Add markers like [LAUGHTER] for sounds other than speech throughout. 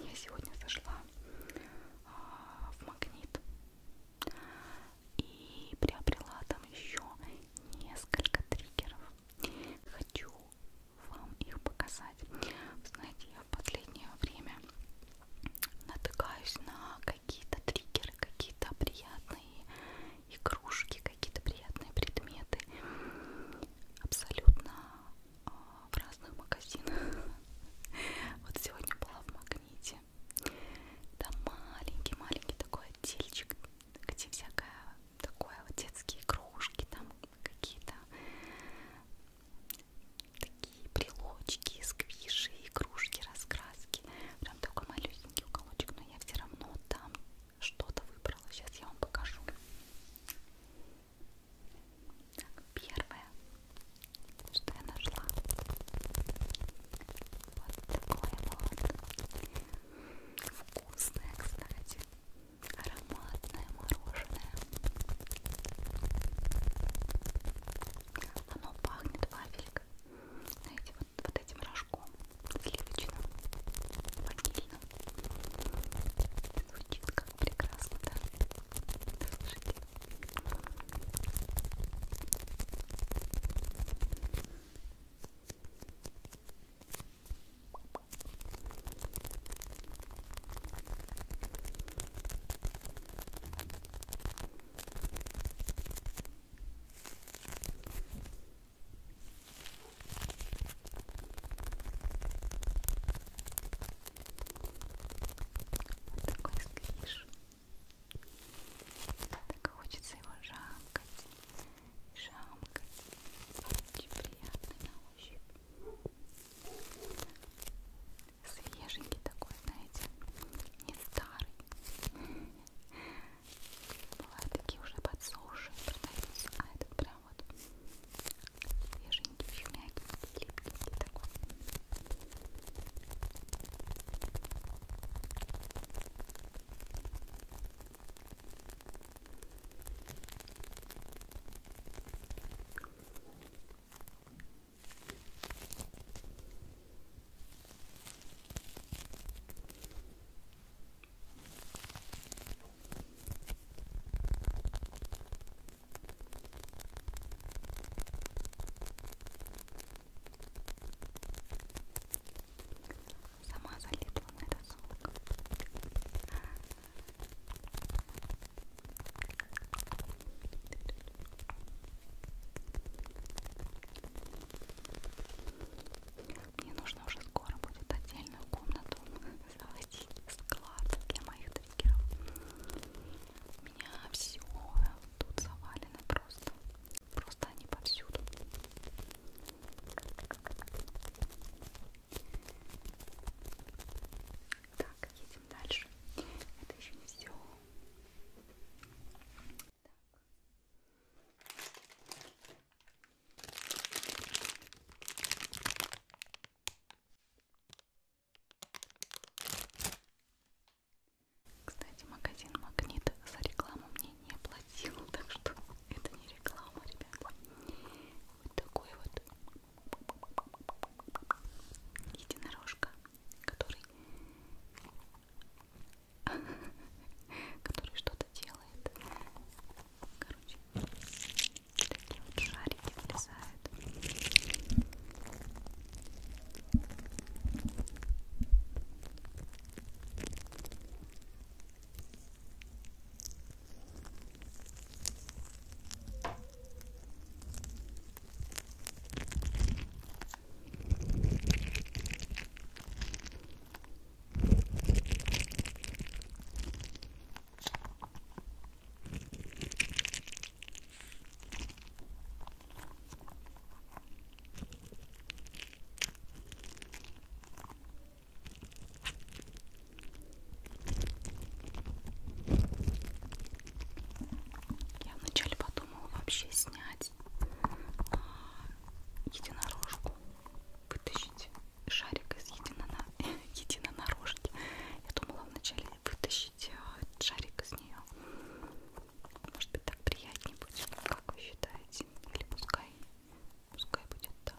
Я сегодня зашла а, в магнит и приобрела там еще несколько триггеров. Хочу вам их показать. Знаете, я в последнее время натыкаюсь на какие-то триггеры, какие-то приятные игрушки, какие-то приятные предметы. Абсолютно в разных магазинах. [LAUGHS] Вот сегодня была в Магните. Там маленький-маленький такой отдельчик, где всякое такое вот детские игрушки, там какие-то такие брелочки, сквиши, игрушки, раскраски. Прям такой малюсенький уголочек, но я все равно там что-то выбрала. Сейчас я вам покажу. Так, первое, что я нашла, вот такое вот вкусное, кстати, ароматное мороженое. Оно пахнет вафелькой, знаете, вот, вот этим рожком сливочным, ванильным. Звучит как прекрасно, да? Слушайте. Ой, вот такой сквиш. Так хочется его жамкать, жамкать. Очень приятный на ощупь. Свеженький такой, знаете, не старый. Бывают такие уже подсуши, продаются, а этот прям вот свеженький, еще мягкий, липкий такой Сама залипла на рисунок. Мне нужно уже скоро будет отдельную комнату [LAUGHS] создать склад для моих триггеров. У меня все тут завалено просто. Просто они повсюду. Так, едем дальше. Это еще не все. Так. Кстати, магазин Магнит за рекламу мне не платил, [LAUGHS] так что это не реклама, ребята. Вот такой вот единорожка, который [LAUGHS] который что-то делает Короче, такие вот шарики влезают. Я вначале подумала вообще снять а, единорожку, вытащить шарик из единона... [LAUGHS] единонорожки. Я думала вначале вытащить э, шарик из нее. Может быть так приятнее будет, как вы считаете? Или пускай, пускай будет так.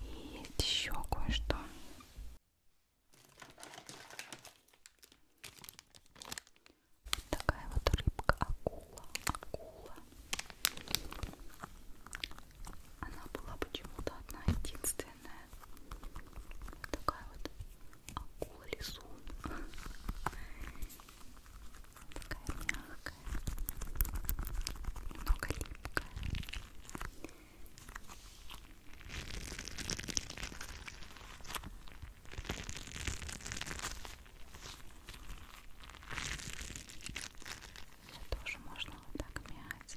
И еще кое-что. Вот такая вот рыбка акула. Акула. Она была почему-то одна единственная. Такая вот акула лизун. Такая мягкая. Много липкая. Все тоже можно вот так мять.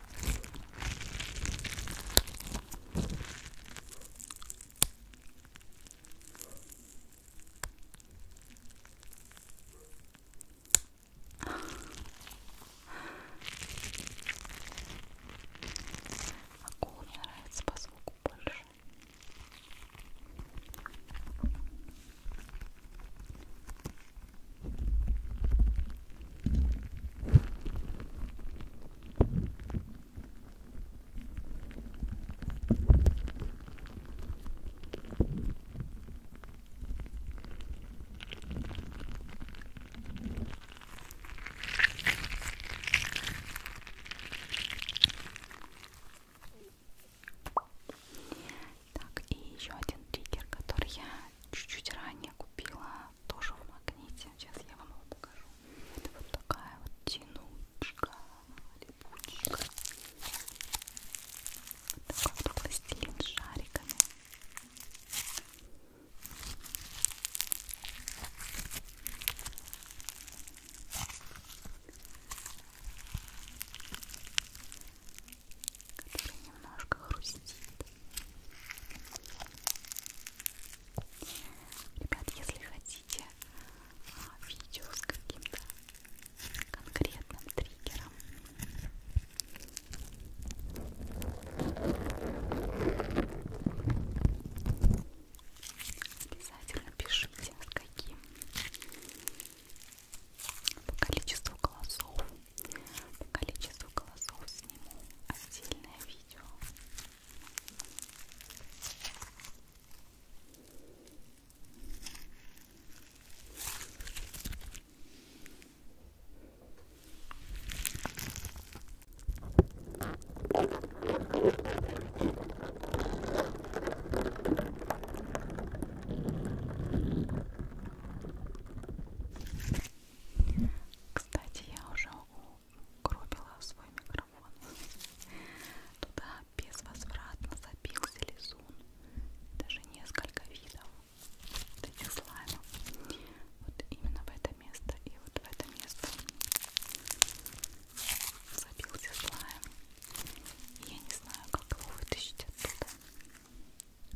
Акула мне нравится по звуку больше. Так, и еще один триггер, который я чуть-чуть ранее купила тоже в магните. Сейчас я вам его покажу. Это вот такая вот тянучка, липучка. Вот такой вот пластилин с шариками. который немножко хрустит Ребят, если хотите а, видео с каким-то конкретным триггером, обязательно пишите, с каким по количеству голосов по количеству голосов сниму отдельное видео. Кстати, я уже угробила свой микрофон. Туда безвозвратно забился лизун. Даже несколько видов вот этих слаймов. Вот именно в это место и вот в это место забился слайм. Я не знаю, как его вытащить оттуда.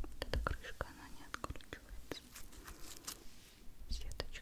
Вот эта крышка, она не откручивается сеточка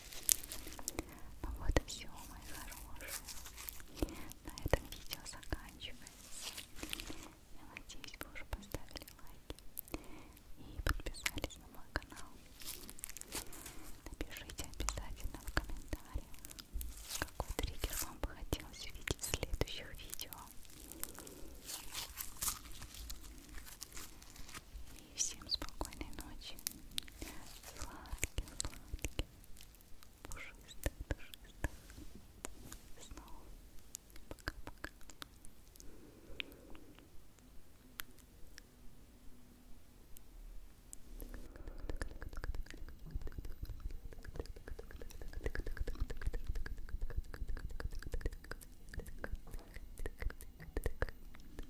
Ну вот и все, мои хорошие. На этом видео заканчивается. Я надеюсь, вы уже поставили лайки и подписались на мой канал. Напишите обязательно в комментариях, какой триггер вам бы хотелось видеть в следующих видео. И и всем спокойной ночи. Сладких, сладких, пушистых, пушистых снов. Пока-пока.